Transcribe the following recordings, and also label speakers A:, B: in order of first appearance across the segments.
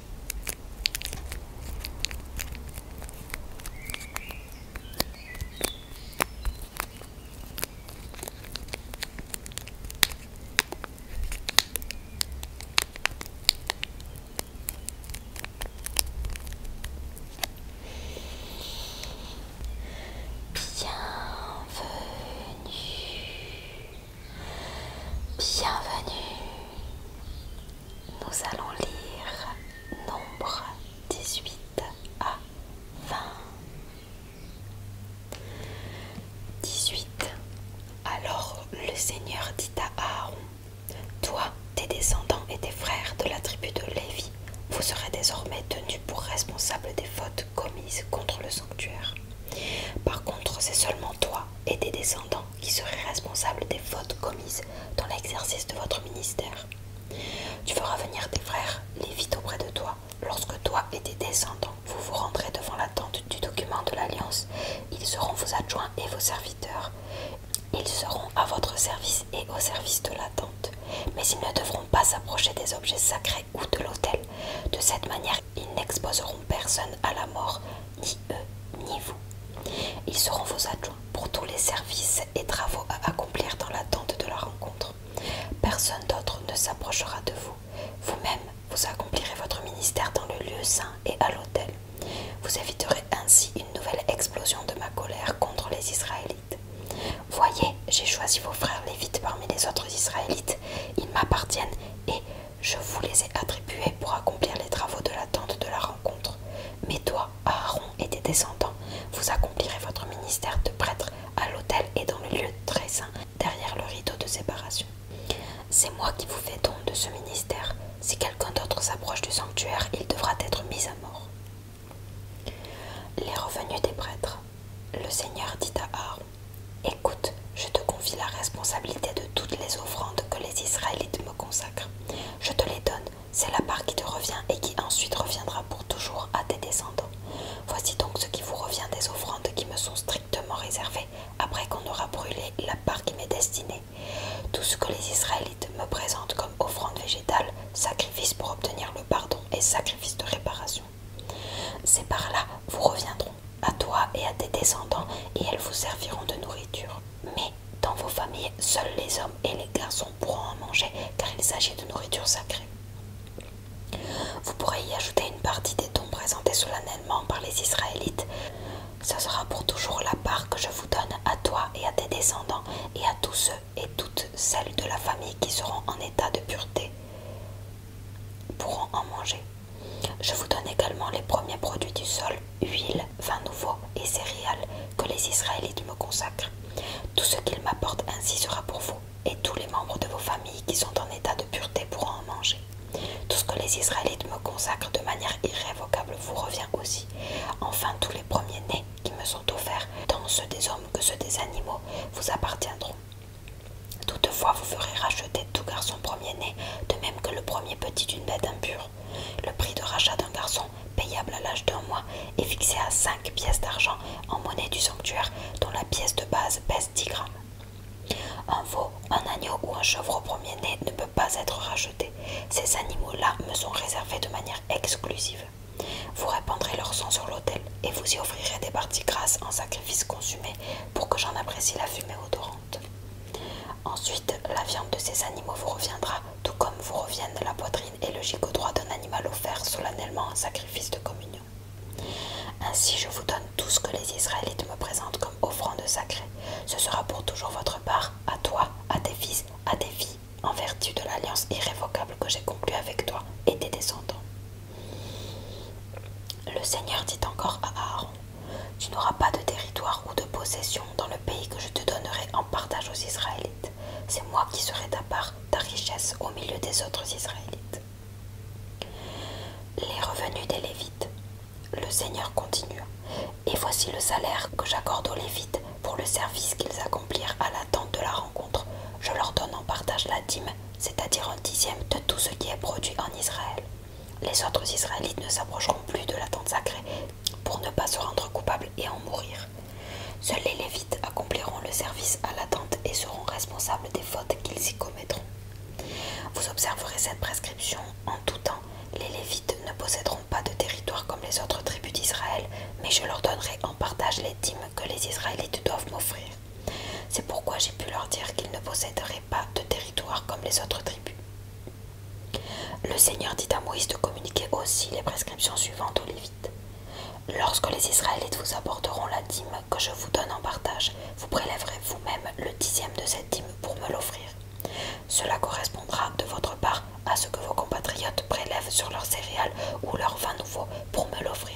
A: Bienvenue, bienvenue, nous allons lire Nombre 18 à 20. 18. Alors le Seigneur dit à Aaron, Toi, tes descendants et tes frères de la tribu de Lévi, vous serez désormais tenus pour responsables des fautes commises contre le sanctuaire. Par contre, c'est seulement toi et tes descendants qui seraient responsables des fautes commises dans l'exercice de votre ministère. Tu feras venir tes frères, les vite auprès de toi. Lorsque toi et tes descendants, vous vous rendrez devant la tente du document de l'Alliance, ils seront vos adjoints et vos serviteurs. Ils seront à votre service et au service de la tente. Mais ils ne devront pas s'approcher des objets sacrés ou de l'autel. De cette manière, ils n'exposeront personne à la mort, ni eux, ni vous. Ils seront vos adjoints pour tous les services et travaux à accomplir dans l'attente de la rencontre. Personne d'autre ne s'approchera de vous. Vous-même, vous accomplirez votre ministère dans le lieu saint et à l'autel. Vous éviterez ainsi une nouvelle explosion de ma colère contre les Israélites. Voyez, j'ai choisi vos frères lévites parmi les autres Israélites. Ils m'appartiennent et je vous les ai attribués pour accomplir les travaux de la de la rencontre. Mais toi, Aaron et tes descendants, vous accomplirez votre ministère de prêtre à l'autel et dans le lieu très saint, derrière le rideau de séparation. C'est moi qui vous fais don de ce ministère. Si quelqu'un d'autre s'approche du sanctuaire, il devra être mis à mort. Les revenus des prêtres. Le Seigneur dit à Aaron Écoute, je te confie la responsabilité de toutes les offrandes que les Israélites me consacrent. Je te les donne c'est la part qui te revient et qui ensuite reviendra pour toujours à tes descendants. Voici donc ce qui vous revient des offrandes qui me sont strictement réservées après qu'on aura brûlé la part qui m'est destinée. Tout ce que les Israélites me présentent comme offrande végétale, sacrifice pour obtenir le pardon et sacrifice de réparation. Ces parts-là vous reviendront, à toi et à tes descendants, et elles vous serviront de nourriture. Mais dans vos familles, seuls les hommes et les garçons pourront en manger car il s'agit de nourriture sacrée. Vous pourrez y ajouter une partie des dons présentés solennellement par les Israélites. Ce sera pour toujours la part que je vous donne à toi et à tes descendants et à tous ceux et toutes celles de la famille qui seront en état de pureté pourront en manger. Je vous donne également les premiers produits du sol huile, vin nouveau et céréales que les Israélites me consacrent. Tout ce qu'ils m'apportent ainsi sera pour vous et tous les membres de vos familles qui sont en état de pureté pourront en manger. Tout ce que les Israélites me consacrent de manière irrévocable vous revient aussi. Enfin, tous les premiers-nés qui me sont offerts, tant ceux des hommes que ceux des animaux, vous appartiendront. Toutefois, vous ferez racheter tout garçon premier-né, de même que le premier petit d'une bête impure. Le prix de rachat d'un garçon, payable à l'âge d'un mois, est fixé à 5 pièces d'argent en monnaie du sanctuaire, dont la pièce de base pèse 10 grammes. Un veau, un agneau ou un chevreau premier-né ne peut pas être racheté. Ces animaux-là me sont réservés de manière exclusive. Vous répandrez leur sang sur l'autel et vous y offrirez des parties grasses en sacrifice consumé pour que j'en apprécie la fumée odorante. Ensuite, la viande de ces animaux vous reviendra tout comme vous reviennent de la poitrine et le au droit d'un animal offert solennellement en sacrifice de communion. Ainsi je vous donne tout ce que les Israélites me présentent comme offrande sacrée. Ce sera pour toujours votre part, à toi, à tes fils, à tes filles, en vertu de l'alliance irrévocable que j'ai conclue avec toi et tes descendants. Le Seigneur dit encore à Aaron, Tu n'auras pas de territoire ou de possession dans le pays que je te donnerai en partage aux Israélites. C'est moi qui serai ta part, ta richesse au milieu des autres Israélites. Les revenus des Lévites. Le Seigneur continue. Et voici le salaire que j'accorde aux Lévites pour le service qu'ils accomplirent à l'attente de la rencontre. Je leur donne en partage la dîme, c'est-à-dire un dixième de tout ce qui est produit en Israël. Les autres Israélites ne s'approcheront plus de la tente sacrée pour ne pas se rendre coupable et en mourir. Seuls les Lévites accompliront le service à l'attente et seront responsables des fautes qu'ils y commettront. Vous observerez cette prescription en tout temps. Les Lévites ne posséderont pas de territoire comme les autres tribus d'Israël, mais je leur donnerai en partage les dîmes que les Israélites doivent m'offrir. C'est pourquoi j'ai pu leur dire qu'ils ne posséderaient pas de territoire comme les autres tribus. Le Seigneur dit à Moïse de communiquer aussi les prescriptions suivantes aux Lévites. Lorsque les Israélites vous apporteront la dîme que je vous donne en partage, vous prélèverez vous-même le dixième de cette dîme pour me l'offrir. Cela correspondra de votre part à ce que vos compatriotes prélèvent sur leurs céréales ou leur vin nouveau pour me l'offrir.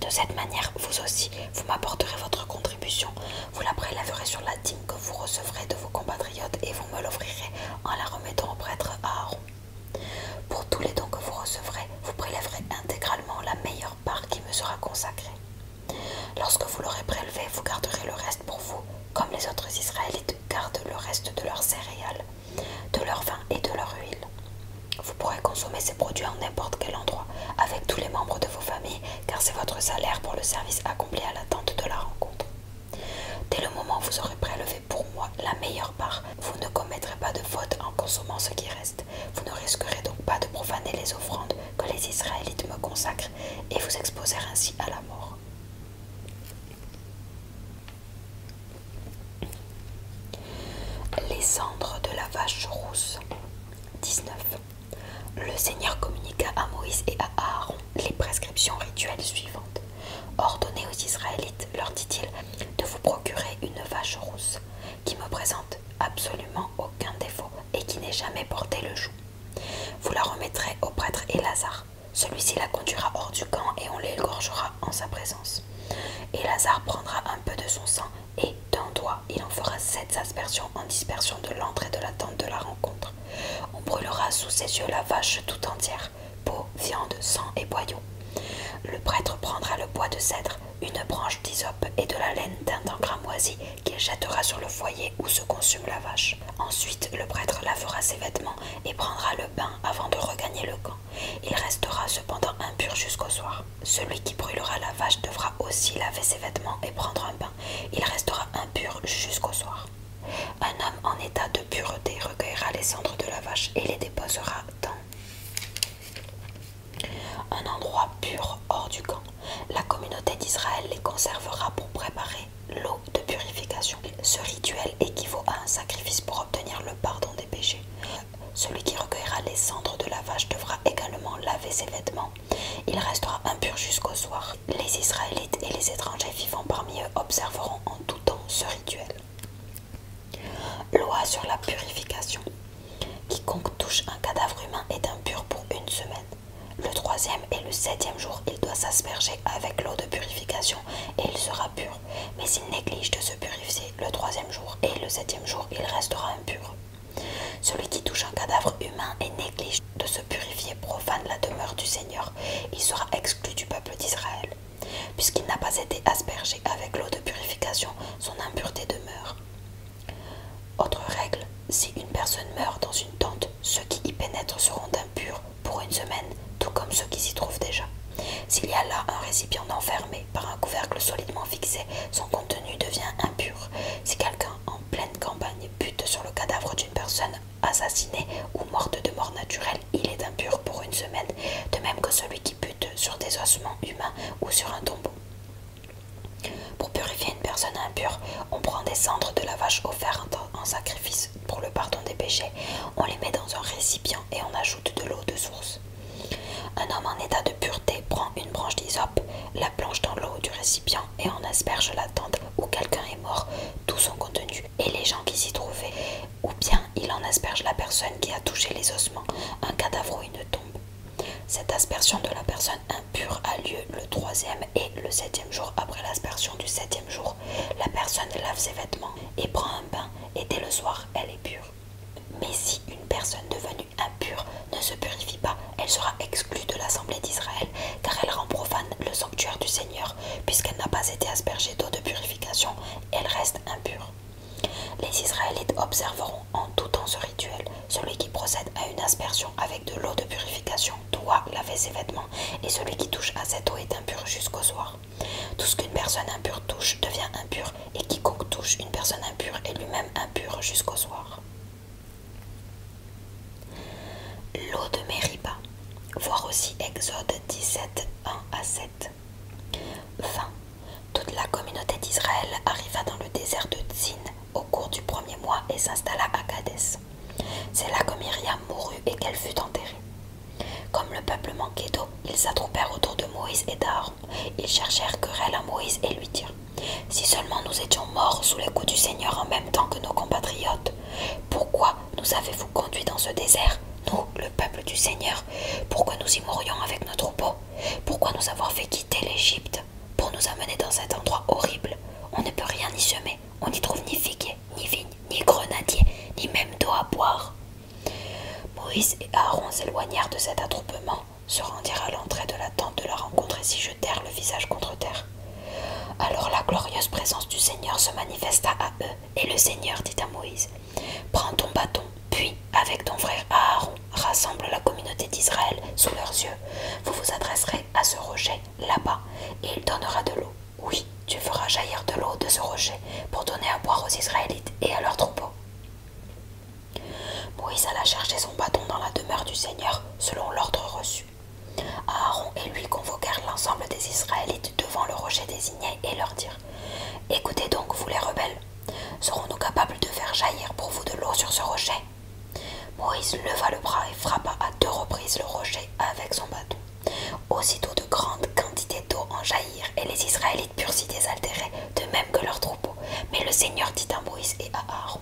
A: De cette manière, vous aussi, vous m'apporterez votre contribution, vous la prélèverez sur la dîme que vous recevrez de vos compatriotes et vous me l'offrirez en la remettant au prêtre Aaron. Pour tous les dons que vous recevrez, vous prélèverez intégralement la meilleure part qui me sera consacrée. Lorsque vous l'aurez prélevé, vous garderez le reste pour vous, comme les autres Israélites gardent le reste de leurs céréales, de leur vin et de leur huile. Vous pourrez consommer ces produits en n'importe quel endroit, avec tous les membres de vos familles, car c'est votre salaire pour le service accompli à l'attente de la rencontre. Dès le moment où vous aurez prélevé pour moi la meilleure part, vous ne commettrez pas de faute en consommant ce qui reste. Vous ne risquerez donc pas de profaner les offrandes que les Israélites me consacrent et vous exposer ainsi à la mort. Les cendres de la vache rousse. 19. Le Seigneur communiqua à Moïse et à Aaron les prescriptions rituelles suivantes. Ordonnez aux Israélites, leur dit-il, de vous procurer une vache rousse, qui me présente absolument aucun défaut et qui n'est jamais porté le joug. Vous la remettrez au prêtre Élazar. Celui-ci la conduira hors du camp et on l'égorgera en sa présence. Élazar prendra un peu de son sang et, d'un doigt, il en fera sept aspersions en dispersion de l'entrée de la tente de la rencontre. On brûlera sous ses yeux la vache tout entière peau, viande, sang et boyaux. Le prêtre prendra le bois de cèdre, une branche d'hysope et de la laine d'un cramoisi qu'il jettera sur le foyer où se consume la vache. Ensuite, le prêtre lavera ses vêtements et prendra le bain avant de regagner le camp. Il restera cependant impur jusqu'au soir. Celui qui brûlera la vache devra aussi laver ses vêtements et prendre un bain. Il restera impur jusqu'au soir. Un homme en état de pureté recueillera les cendres de la vache et les déposera dans un endroit pur hors du camp. La communauté d'Israël les conservera pour préparer l'eau de purification. Ce rituel équivaut à un sacrifice pour obtenir le pardon des péchés. Celui qui recueillera les cendres de la vache devra également laver ses vêtements. Il restera impur jusqu'au soir. Les Israélites et les étrangers vivant parmi eux observeront en tout dans ce rituel. Loi sur la purification. Quiconque touche un cadavre humain est impur pour une semaine. Le troisième et le septième jour, il doit s'asperger avec l'eau de purification et il sera pur. Mais s'il néglige de se purifier le troisième jour et le septième jour, il restera impur. Celui qui touche un cadavre humain et néglige de se purifier profane la demeure du Seigneur il sera exclu du peuple d'Israël. Puisqu'il n'a pas été aspergé avec l'eau de purification, son impureté demeure. Autre règle, si une personne meurt dans une tente, ceux qui y pénètrent seront impurs pour une semaine, tout comme ceux qui s'y trouvent déjà. S'il y a là un récipient enfermé par un couvercle solidement fixé, son contenu devient impur. Si quelqu'un en pleine campagne bute sur le cadavre d'une personne assassiné ou morte de mort naturelle, il est impur pour une semaine, de même que celui qui bute sur des ossements humains ou sur un tombeau. Pour purifier une personne impure, on prend des cendres de la vache offerte en sacrifice pour le pardon des péchés, on les met dans un récipient et on ajoute de l'eau de source. Un homme en état de pureté prend une branche d'hysope, la plonge dans l'eau du récipient et en asperge la tente où quelqu'un est mort, tout son contenu et les gens qui s'y trouvaient, ou bien il en asperge la personne qui a touché les ossements, un cadavre ou une tombe. Cette aspersion de la personne impure a lieu le troisième et le septième jour après l'aspersion du septième jour. La personne lave ses vêtements et prend un bain et dès le soir elle est pure. Mais si une personne devenue impure ne se purifie pas, elle sera exclue de l'assemblée d'Israël car elle rend profane le sanctuaire du Seigneur puisqu'elle n'a pas été aspergée d'eau de purification, elle reste impure. Les Israélites observeront en tout temps ce rituel. Celui qui procède à une aspersion avec de l'eau de purification doit laver ses vêtements, et celui qui touche à cette eau est impur jusqu'au soir. Tout ce qu'une personne impure touche devient impur, et quiconque touche une personne impure est lui-même impur jusqu'au soir. L'eau de Mériba. Voir aussi Exode 17, 1 à 7. Fin Toute la communauté d'Israël arriva dans le désert de Tzin au cours du premier mois et s'installa à Kadès. C'est là que Myriam mourut et qu'elle fut enterrée. Comme le peuple manquait d'eau, ils s'attroupèrent autour de Moïse et d'Aaron. Ils cherchèrent querelle à Moïse et lui dirent Si seulement nous étions morts sous les coups du Seigneur en même temps que nos compatriotes, pourquoi nous avez-vous conduits dans ce désert nous, le peuple du Seigneur, pourquoi nous y mourions avec notre troupeaux Pourquoi nous avoir fait quitter l'Égypte pour nous amener dans cet endroit horrible On ne peut rien y semer, on n'y trouve ni figuier, ni vigne, ni grenadier, ni même d'eau à boire. Moïse et Aaron s'éloignèrent de cet attroupement, se rendirent à l'entrée de la tente de la rencontre et s'y jetèrent le visage contre terre. Alors la glorieuse présence du Seigneur se manifesta à eux, et le Seigneur dit à Moïse, Prends ton bâton, puis, avec ton frère Aaron, rassemble la communauté d'Israël sous leurs yeux. Vous vous adresserez à ce rocher là-bas, et il donnera de l'eau. Oui, tu feras jaillir de l'eau de ce rocher pour donner à boire aux Israélites et à leurs troupeaux. Moïse alla chercher son bâton dans la demeure du Seigneur, selon l'ordre reçu. Aaron et lui convoquèrent l'ensemble des Israélites devant le rocher désigné et leur dire Écoutez donc, vous les rebelles, serons-nous capables de faire jaillir pour vous de l'eau sur ce rocher Moïse leva le bras et frappa à deux reprises le rocher avec son bateau Aussitôt de grandes quantités d'eau en jaillirent, et les Israélites purent s'y désaltérer, de même que leurs troupeaux. Mais le Seigneur dit à Moïse et à Aaron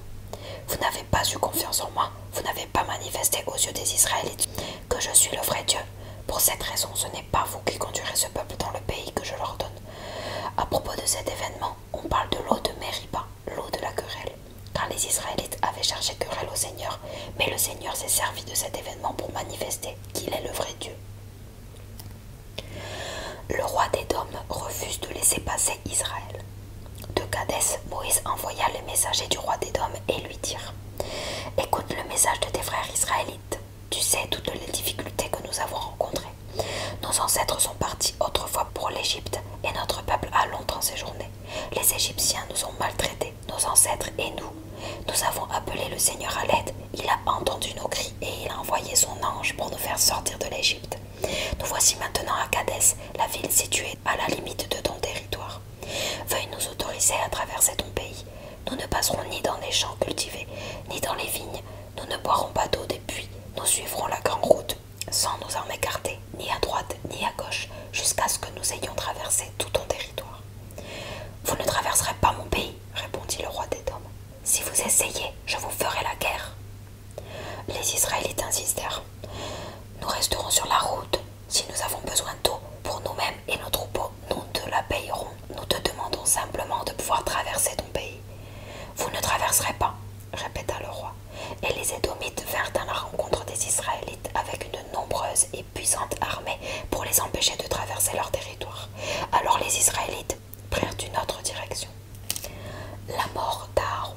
A: Vous n'avez pas eu confiance en moi, vous n'avez pas manifesté aux yeux des Israélites que je suis le vrai Dieu pour cette raison, ce n'est pas vous qui conduirez ce peuple dans le pays que je leur donne. À propos de cet événement, on parle de l'eau de Mériba, l'eau de la querelle, car les Israélites avaient cherché querelle au Seigneur, mais le Seigneur s'est servi de cet événement pour manifester qu'il est le vrai Dieu. Le roi des d'Édom refuse de laisser passer Israël. De Cadès, Moïse envoya les messagers du roi des d'Édom et lui dirent Écoute le message de tes frères israélites. Tu sais toutes les difficultés que nous avons rencontrées. Nos ancêtres sont partis autrefois pour l'Égypte et notre peuple a longtemps séjourné. Les Égyptiens nous ont maltraités, nos ancêtres et nous. Nous avons appelé le Seigneur à l'aide, il a entendu nos cris et il a envoyé son ange pour nous faire sortir de l'Égypte. Nous voici maintenant à Kadès, la ville située à la limite de ton territoire. Veuillez nous autoriser à traverser ton pays. Nous ne passerons ni dans les champs cultivés, ni dans les vignes. Nous ne boirons pas d'eau des puits. Nous suivrons la grande route, sans nous en écarter, ni à droite, ni à gauche, jusqu'à ce que nous ayons traversé tout ton territoire. Vous ne traverserez pas mon pays, répondit le roi des Si vous essayez, je vous ferai la guerre. Les Israélites insistèrent. Nous resterons sur la route, si nous avons besoin d'eau pour nous-mêmes et nos troupeaux, nous te la payerons. Nous te demandons simplement de pouvoir traverser ton pays. Vous ne traverserez pas, répéta le roi. Et les Édomites vinrent à la rencontre des Israélites avec une nombreuse et puissante armée pour les empêcher de traverser leur territoire. Alors les Israélites prirent une autre direction. La mort d'Aaron.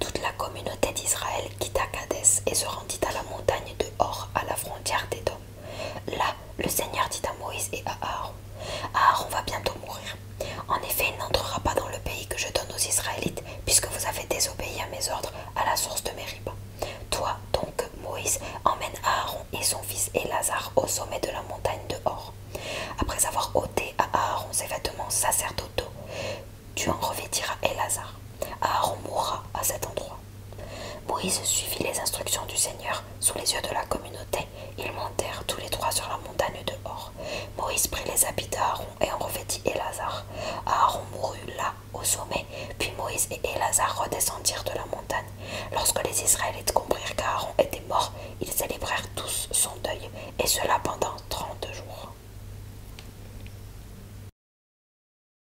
A: Toute la communauté d'Israël quitta Kadès et se rendit à la montagne de Hor à la frontière d'Édom. Là, le Seigneur dit à Moïse et à Aaron Aaron va bientôt mourir. En effet, il n'entrera pas dans le pays que je donne aux Israélites, puisque vous avez désobéi à mes ordres à la source de ribes. Toi, donc, Moïse, emmène Aaron et son fils Elazar au sommet de la montagne de Hor. Après avoir ôté à Aaron ses vêtements sacerdotaux, tu en revêtiras Elazar. Aaron mourra à cet endroit. Moïse suivit les instructions du Seigneur sous les yeux de la communauté. Ils montèrent tous les trois sur la montagne de Moïse prit les habits d'Aaron et en revêtit Élazar. Aaron mourut là, au sommet, puis Moïse et Élazar redescendirent de la montagne. Lorsque les Israélites comprirent qu'Aaron était mort, ils célébrèrent tous son deuil, et cela pendant trente jours.